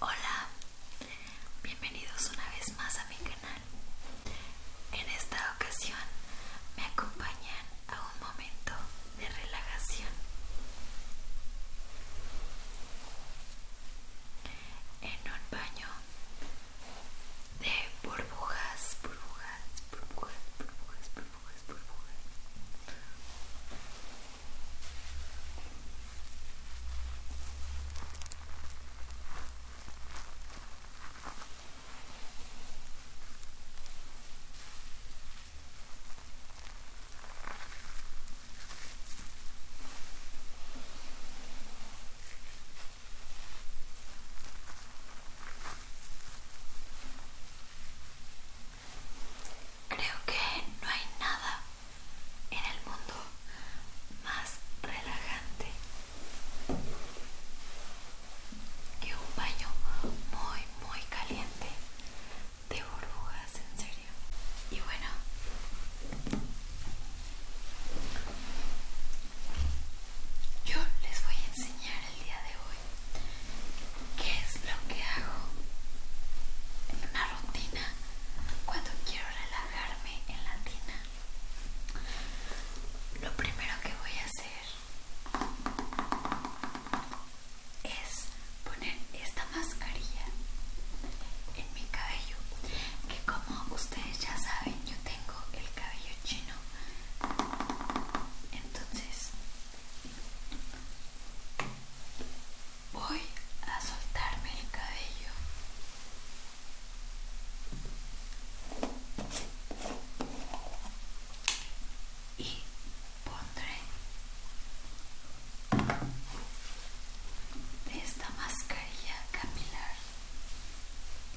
Hola, bienvenidos una vez más a mi canal. En esta ocasión me acompañan a un momento de relajación. En un baño de burbujas, burbujas, burbujas, burbujas, burbujas, burbujas. Creo que no hay nada en el mundo más relajante que un baño muy muy caliente de burbujas, en serio. Y bueno, yo les voy a enseñar el día de hoy qué es lo que hago en una rutina cuando quiero relajarme en la tina. Lo primero que voy a hacer es poner esta mascarilla en mi cabello que como ustedes ya saben yo tengo el cabello chino entonces voy a soltarme el cabello y pondré esta mascarilla capilar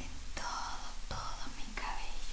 en todo, todo mi cabello.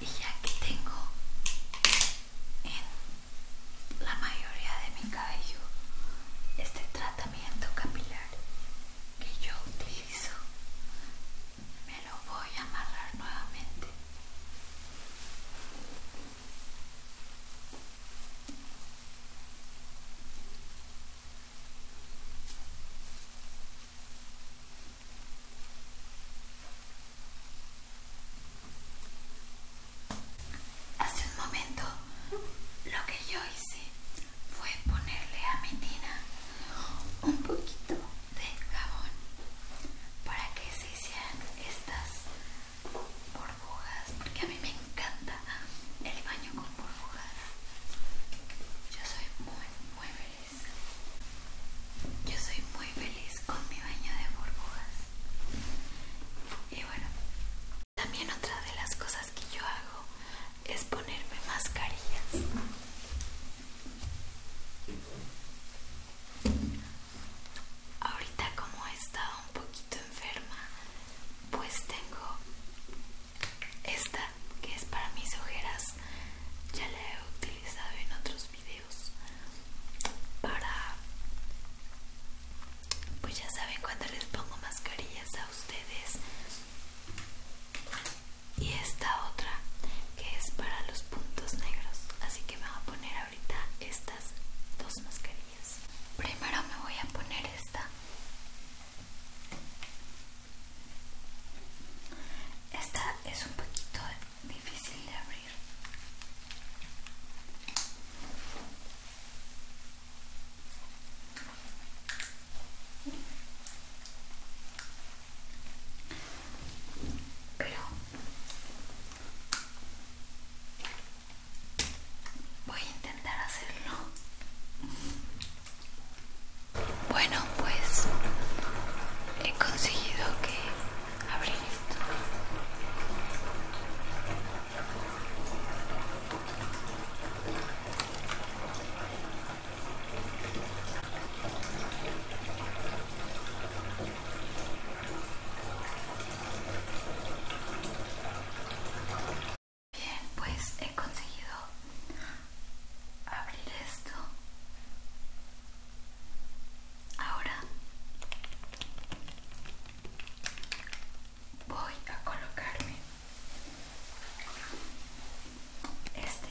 y ya que tengo en la mayoría de mi cabello este tratamiento capilar que yo utilizo me lo voy a amarrar nuevamente Hace un momento lo que yo hice fue ponerle a mi tina un poquito de jabón para que se hicieran estas burbujas porque a mí me encanta el baño con yo soy muy, muy feliz. Yo soy muy feliz con mi baño de burbujas. Y bueno, también otra de las cosas que yo hago es ponerme mascarillas. Ahorita como he estado un poquito enferma, pues tengo esta, que es para mis ojeras, ya la he utilizado en otros videos para... Pues ya saben cuando les pongo mascarillas a ustedes. Y esta otra, que es para los puntos negros. Así que me voy a poner ahorita estas dos mascarillas. Primero me voy a poner esta esta es un poquito difícil de abrir. Pero voy a intentar hacerlo. Bueno, pues he conseguido que abrir esto. Bien, pues he conseguido abrir esto. Ahora voy a colocarme este.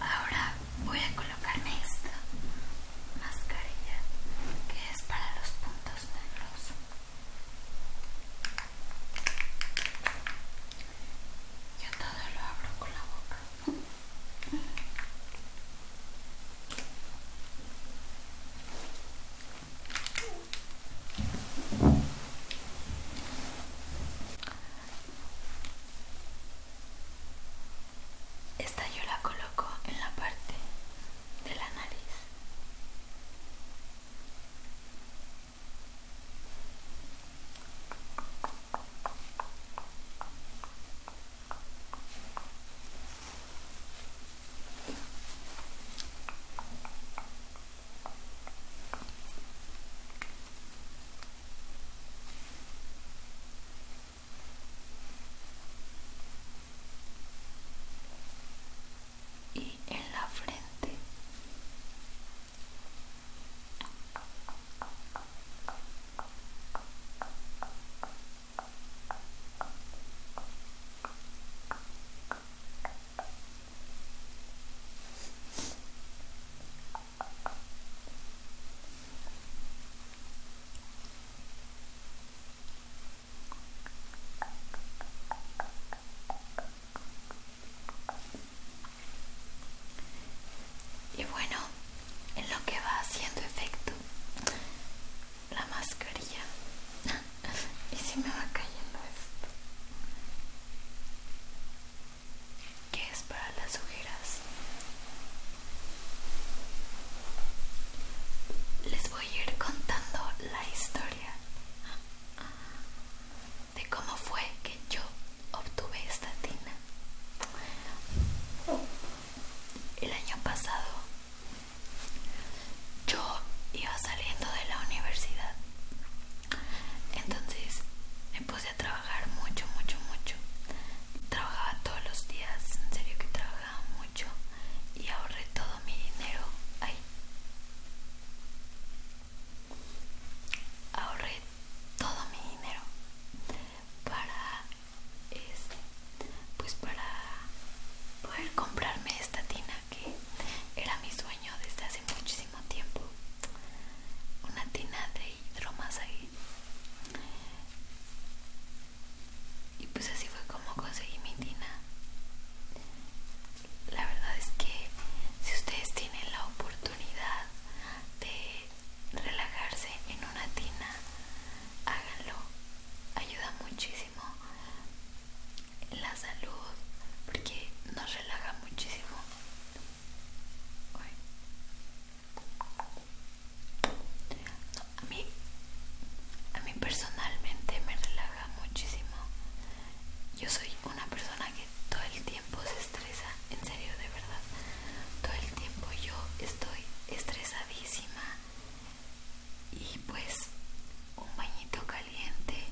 Ahora voy a colocarme esta mascarilla que es para los puntos negros. Yo todo lo abro con la boca. Esta yo la coloco en la parte de la nariz y en la frente y bueno, en lo que va haciendo efecto la mascarilla. y si me va cayendo esto que es para las ojeras. Les voy a ir contando la historia de cómo fue que yo obtuve esta tina. El año pasado yo iba saliendo de la universidad. Entonces me puse a trabajar mucho, mucho, mucho. Trabajaba todos los días, en serio que trabajaba mucho y ahorré todo mi dinero ahí. Ahorré todo mi dinero para este, pues para poder comprarme esta tina que era mi sueño desde hace muchísimo tiempo. Una tina de hidromasaje y pues así fue como conseguí mi tina la verdad es que si ustedes tienen la oportunidad de relajarse en una tina háganlo ayuda muchísimo la salud porque nos relaja muchísimo a mí, a mí personalmente me relaja muchísimo. Yo soy una persona que todo el tiempo se estresa, en serio, de verdad. Todo el tiempo yo estoy estresadísima y pues un bañito caliente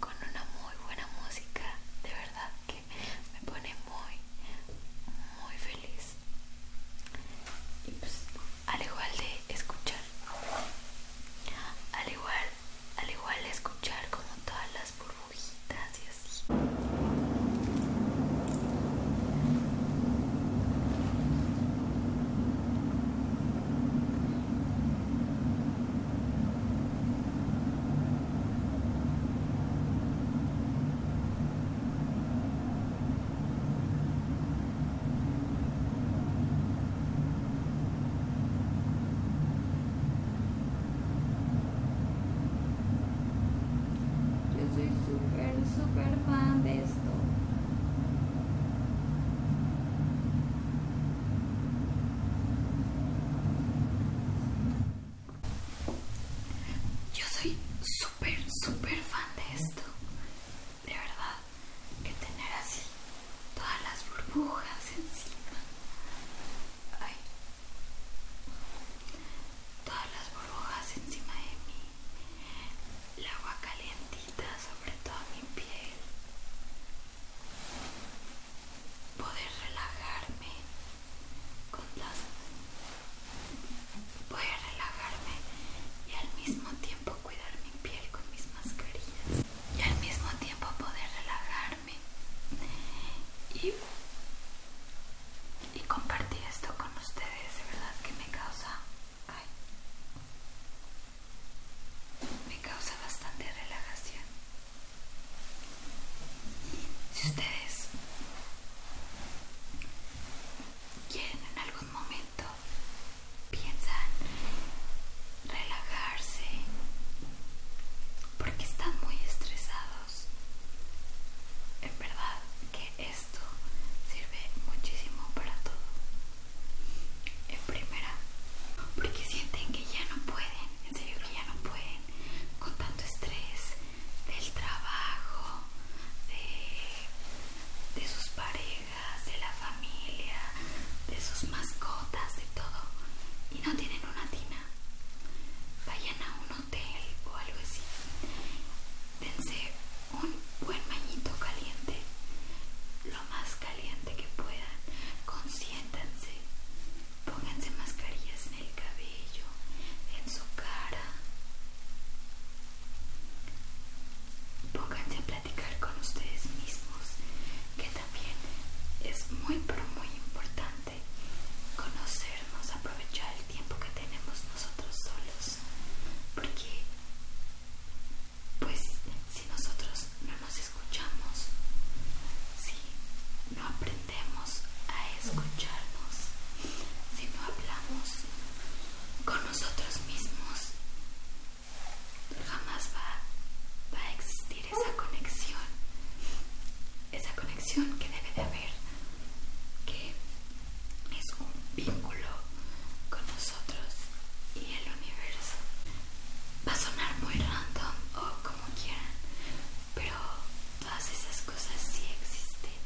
con una muy buena música, de verdad que me pone muy, muy feliz. Pues, al igual de escuchar, al igual, al igual de escuchar como todas las burbujitas y así yo soy súper super fan de esto yo soy súper, súper fan de esto. De verdad, que tener así todas las burbujas encima. Ay. Todas las burbujas encima de mí. El agua calientita sobre toda mi piel. Poder relajarme con Voy a relajarme y al mismo tiempo cuidar mi piel con mis mascarillas y al mismo tiempo poder relajarme y, y compartir esto con ustedes. De verdad que me causa... me causa bastante relajación si ustedes quieren en algún momento, piensan relajarse porque están muy estresados. En verdad que esto sirve muchísimo para todo. En primera, porque sienten que ya no pueden, en serio que ya no pueden, con tanto estrés, del trabajo, de, sus parejas, de la familia, de sus mascotas, de todo, y no tienen una tina, vayan a un hotel o algo así, dense un buen bañito caliente, lo más caliente que puedan, consiéntanse, pónganse mascarillas el cabello, en su cara. Pónganse a platicar con ustedes mismos, que también es muy pero muy importante conocernos, aprovechar el tiempo que tenemos nosotros solos, porque pues si nosotros no nos escuchamos, si no aprendemos a escucharnos, si no hablamos con nosotros mismos, jamás va, va a existir esa conexión, esa conexión que debe de haber, que es un vínculo con nosotros y el universo. Va a sonar muy random o como quieran, pero todas esas cosas sí existen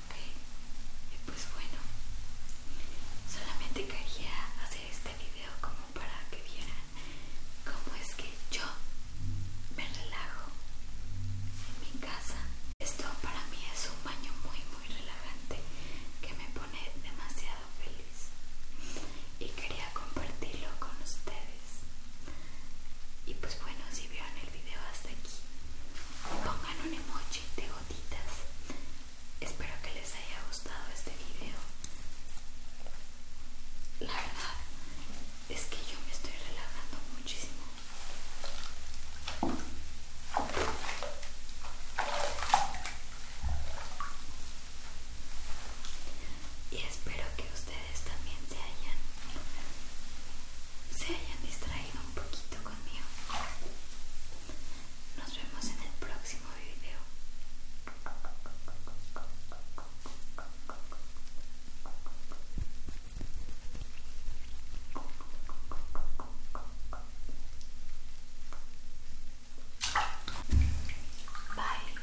ok y pues bueno solamente quería hacer este video como para que vieran cómo es que yo me relajo en mi casa esto para mí es un baño muy muy relajante que me pone demasiado feliz y quería compartirlo con ustedes y pues bueno, si vieron el video hasta aquí, pongan un emoji de gotitas. Espero que les haya gustado este video. La verdad es que yo me estoy relajando muchísimo. Y espero que ustedes también se hayan se hayan distraído un poquito conmigo nos vemos en el próximo video Bye.